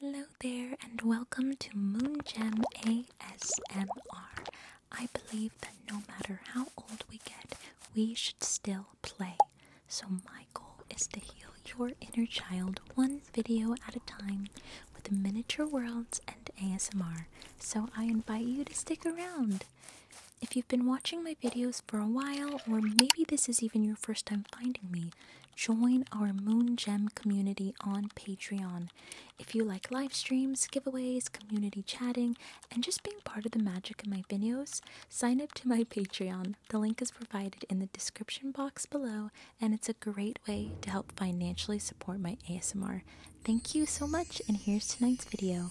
Hello there, and welcome to Moon Gem ASMR. I believe that no matter how old we get, we should still play. So, my goal is to heal your inner child one video at a time with miniature worlds and ASMR. So, I invite you to stick around. If you've been watching my videos for a while, or maybe this is even your first time finding me, Join our Moon Gem community on Patreon. If you like live streams, giveaways, community chatting, and just being part of the magic in my videos, sign up to my Patreon. The link is provided in the description box below, and it's a great way to help financially support my ASMR. Thank you so much, and here's tonight's video.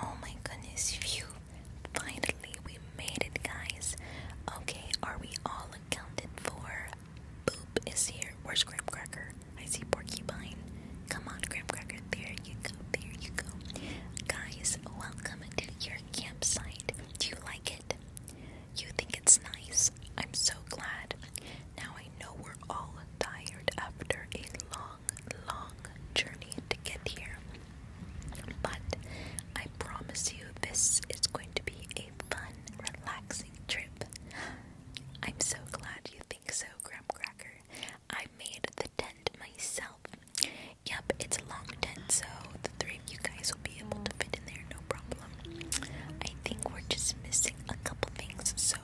Oh my goodness, phew. Finally, we made it, guys. Okay, are we all accounted for? Boop is here. Where's Graham Cracker? I see Porcupine. Come on, Graham Cracker. There you go. There you go. Guys, welcome to your campsite. Do you like it? You think it's nice? I'm so glad. Now I know we're all tired after a long, long journey to get here. But I promise you, this is going to be a fun, relaxing trip. I'm so glad you think so, Graham Cracker. I made the tent myself. Yep, it's a long tent, so the three of you guys will be able to fit in there, no problem. I think we're just missing a couple things, so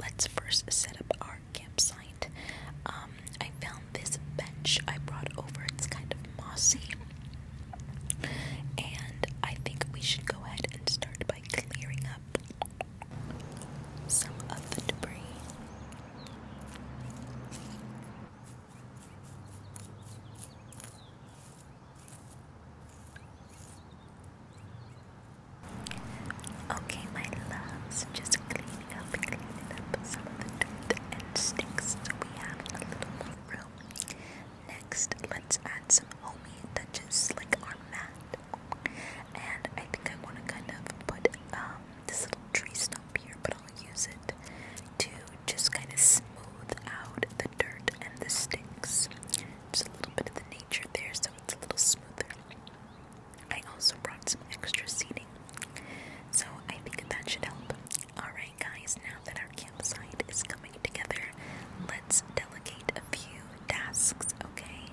let's first set up our campsite. Um, I found this bench I brought over. It's kind of mossy. And I think we should go ahead and start by clearing up some of the debris. Okay, my loves, just cleaning up, cleaning up some of the dirt and sticks so we have a little room Next, let's add some homey touches like our mat. And I think I want to kind of put um, this little tree stump here, but I'll use it to just kind of smooth out the dirt and the sticks. Just a little bit of the nature there, so it's a little smoother. I also brought some extra seating, so I think that should help. Alright guys, now that our campsite is coming together, let's delegate a few tasks, okay?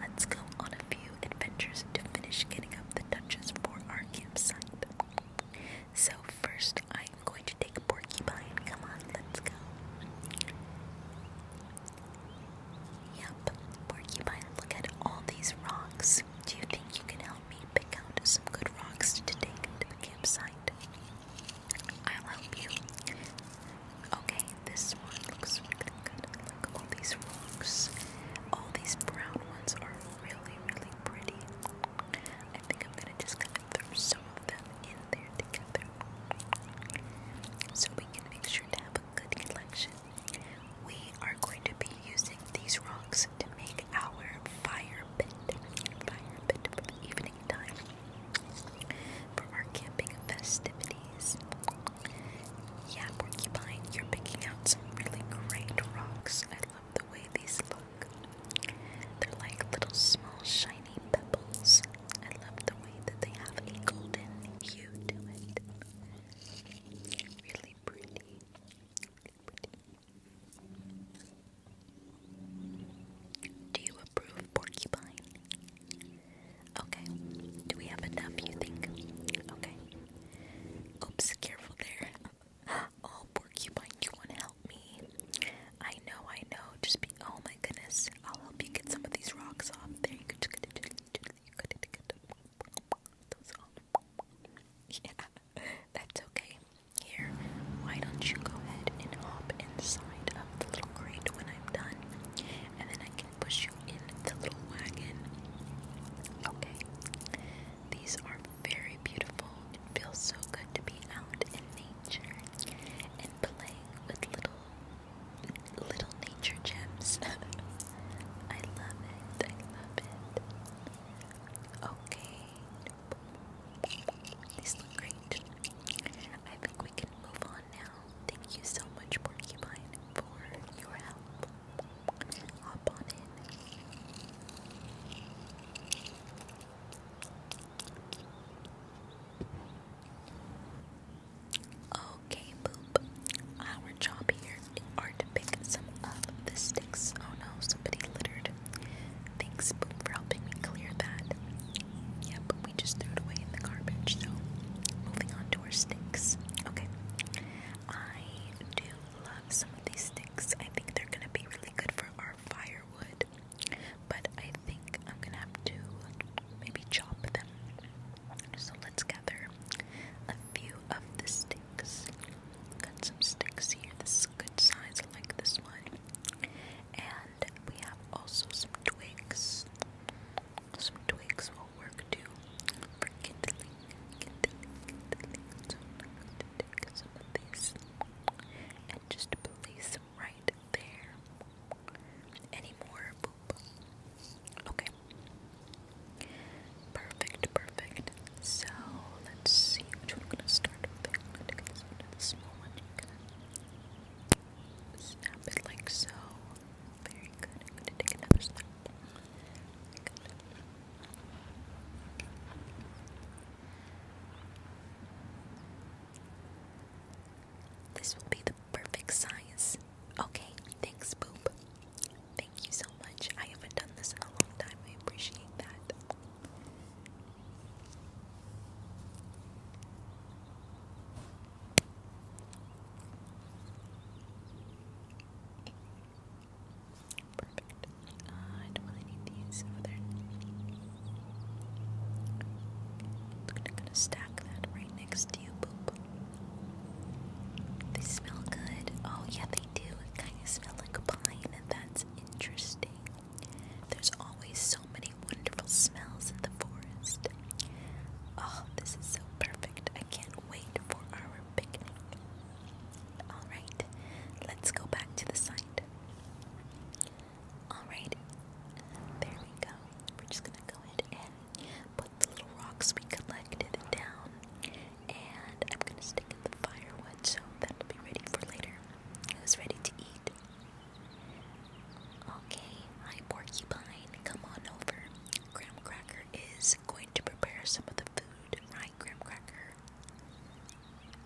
Let's go on a few adventures to finish getting up the touches for our campsite. So first I'm going to take Porcupine. Come on, let's go. Yep, Porcupine, look at all these rocks. Do you think you can help me pick out some good rocks to take to the campsite? I'll help you. Okay, this one looks really good. Look, all these rocks, all these brown ones are really, really pretty. I think I'm gonna just kind of throw some of them in there so we can make sure to have a good collection. We are going to be using these rocks to make our fire pit, fire pit for the evening time for our camping festivities. Yeah, porcupine, you're picking out some really great rocks. I love the way these look. They're like little small shiny pebbles. I love the way that they have a golden hue to it. Really pretty. Do you approve porcupine? Okay. Do we have enough, you think? Okay. Oops, careful there. Oh, porcupine, you want to help me? I know, I know. Just be. Oh my goodness. I'll help you get some of these rocks off. There you go. That's okay. Here, why don't you go ahead and hop inside of the little crate when I'm done, and then I can push you in the little wagon. Okay. These are very beautiful. It feels so good to be out in nature and playing with little little nature gems. I love it. I love it. Okay. These look great. I think we can move on now. Thank you so much, Porcupine, for your help. Hop on in. Okay, boop. Our job here are to pick some of the sticks. Oh no, somebody littered. Thanks, Boop, for helping me clear that. Yeah, we just threw it away in the garbage, so moving on to our sticks. Okay. I do love some of these sticks. I think they're gonna be really good for our firewood. But I think I'm gonna have to maybe chop them. So let's gather a few of the sticks. Got some sticks here. This is a good size. I like this one. And we have also some twigs. Some twigs will work too for kindling. Kindling, kindling. So I'm some of these and just place them right there. Any more? Okay. Perfect, perfect. So let's see which one I'm gonna start with. I'm gonna take this snap like so. Very good. I'm gonna take another snap. This will be the perfect size. Okay, thanks, Boop. Thank you so much. I haven't done this in a long time. I appreciate that. Perfect. Uh, don't need these over there. I'm gonna stack that right next they smell good. Oh yeah, they do. It kind of smells like pine, that's interesting. There's always so many wonderful smells in the forest. Oh, this is so perfect. I can't wait for our picnic. Alright, let's go back to the side. Alright, there we go. We're just gonna go ahead and put the little rocks we collected down, and I'm gonna stick in the firewood so that'll be ready for later. It's ready to eat. Okay, hi porcupine, come on over. Graham Cracker is going to prepare some of the food, right, Graham Cracker?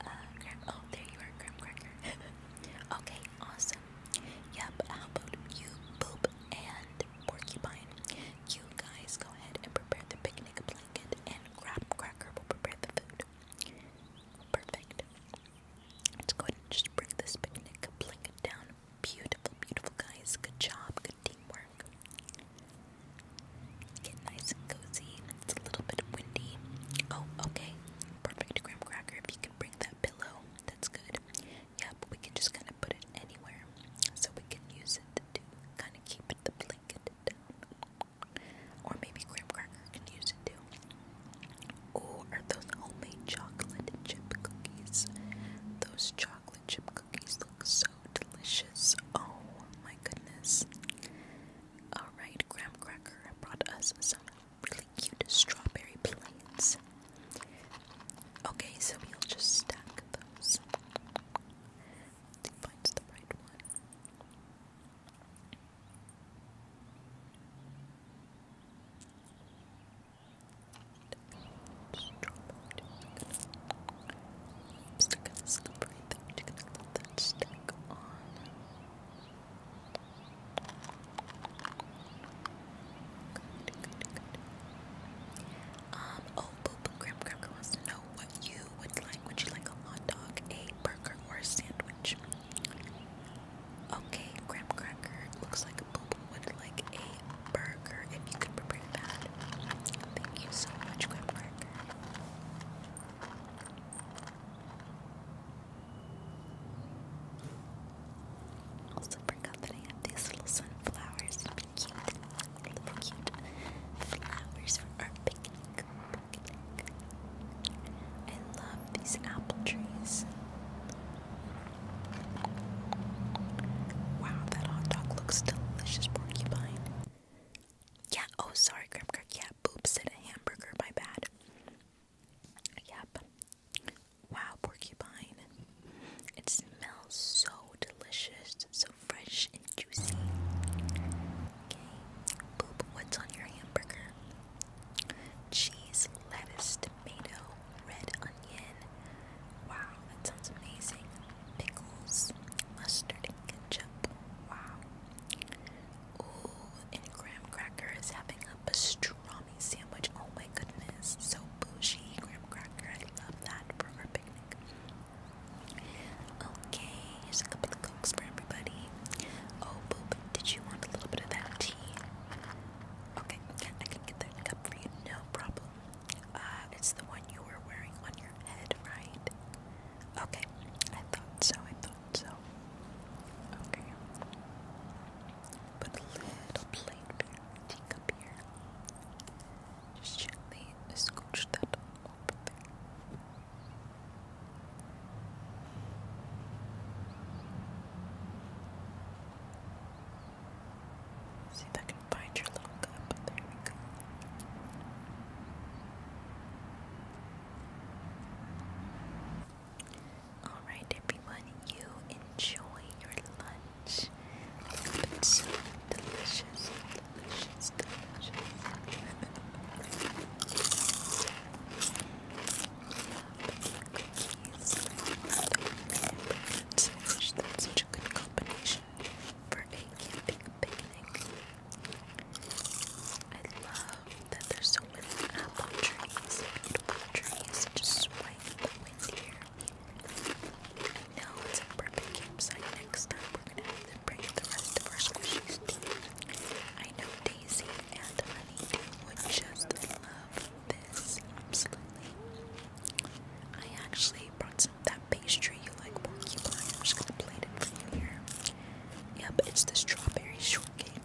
Uh, Graham, oh, there you are, Graham Cracker. okay, awesome. Yep, how about you, Boop, and Porcupine? You guys go ahead and prepare the picnic blanket, and Grab Cracker will prepare the food. Perfect. Let's go ahead and just bring this picnic blanket down. Beautiful, beautiful, guys. Good job. Good teamwork. Get nice and cozy. It's a little bit windy. Oh, okay. Perfect, Graham Cracker. If you can bring that pillow, that's good. Yeah, we can just kind of put it anywhere. So we can use it to kind of keep the blanket down. Or maybe Graham Cracker can use it too. Oh, are those homemade chocolate chip cookies? Those chocolate chip cookies look so delicious. Oh my goodness. Alright, Graham Cracker brought us some really cute strawberry plates. Okay, so we'll just stack those. finds the right one. Just drop it. still gonna slippery thing. You're gonna let on. Um, oh, Poop Graham Cracker wants to know what you would like. Would you like a hot dog, a burger, or a sandwich? Okay, Graham Looks like Poop would like a burger if you could prepare that. Thank you so much, Graham Cracker. Also, super confident. I have these little sunflowers. They're cute. Really cute. Flowers for our picnic. I love these apple trees. Wow, that hot dog looks delicious, porcupine. Yeah, oh, sorry, Grim Kirk. Yeah, Boop said a hamburger, my bad. Yep. Wow, porcupine. It smells so delicious, so fresh and juicy. Okay, Boop, what's on your hamburger? Cheese, lettuce, tomato, red onion. Wow, that sounds amazing. Pickles, mustard, ketchup. Wow. Ooh, and graham cracker having a strong sandwich. Oh my goodness, so bougie graham cracker. I love that for our picnic. Okay, here's a couple of cokes for everybody. Oh, boop, did you want a little bit of that tea? Okay, I can get that cup for you, no problem. Uh, it's the one you were wearing on your head, right? Okay, I thought so, I thought so. Okay. Put a little plate beer, teacup here. Just gently scooch that up there. See if I can find your little cup. There we go. Alright, everyone, you enjoy your lunch. it's so delicious, delicious, delicious. such a good combination for a camping picnic. I love that there's so many apple trees trees just swaying in the wind here. it's a perfect campsite. Next time we're gonna have to bring the rest of our squishies I know Daisy and Honeydew would just love this. Absolutely. I actually brought some that pastry you like porcupine. I'm just gonna plate it for you here. Yep, it's the strawberry shortcake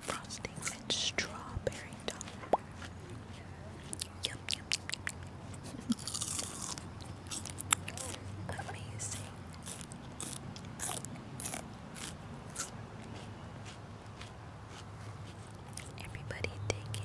frosting and strawberry Amazing. Everybody dig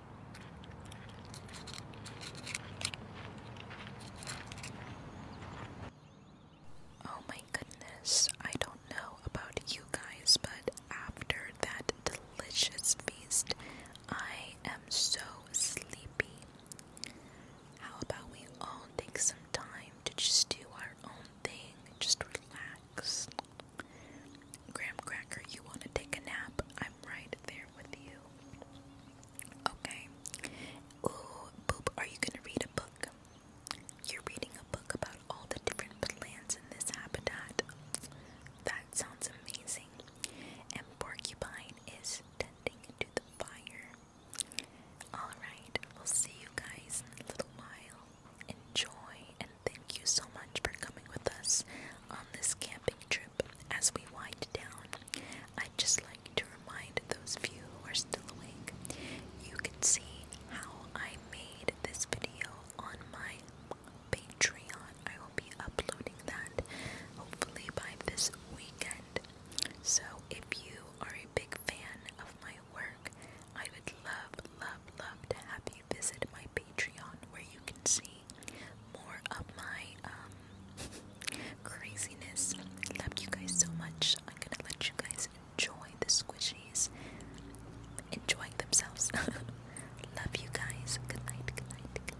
Oh my goodness, I don't know about you guys, but after that delicious feast, I am so sleepy. How about we all take some time to just do our own thing, just relax? Graham Cracker, you want to take a nap? I'm right there Okay. Ooh, are you gonna read a book? You're reading a book about all the different plants in this habitat. That sounds amazing. And Porcupine is tending to the fire. Alright, we'll see you guys in a little while. Enjoy thank you so much for coming with us on this camping trip as we wind down. I'd just like to remind those of you who are still awake, you can see how I made this video on my Patreon. I will be uploading that hopefully by this weekend. So if you are a big fan of my work, I would love, love, love to have you visit my Patreon where you can see more of my um, craziness. Love you guys so much. I'm gonna let you guys enjoy the squishies enjoying themselves. Love you guys. Good night, good night, good night.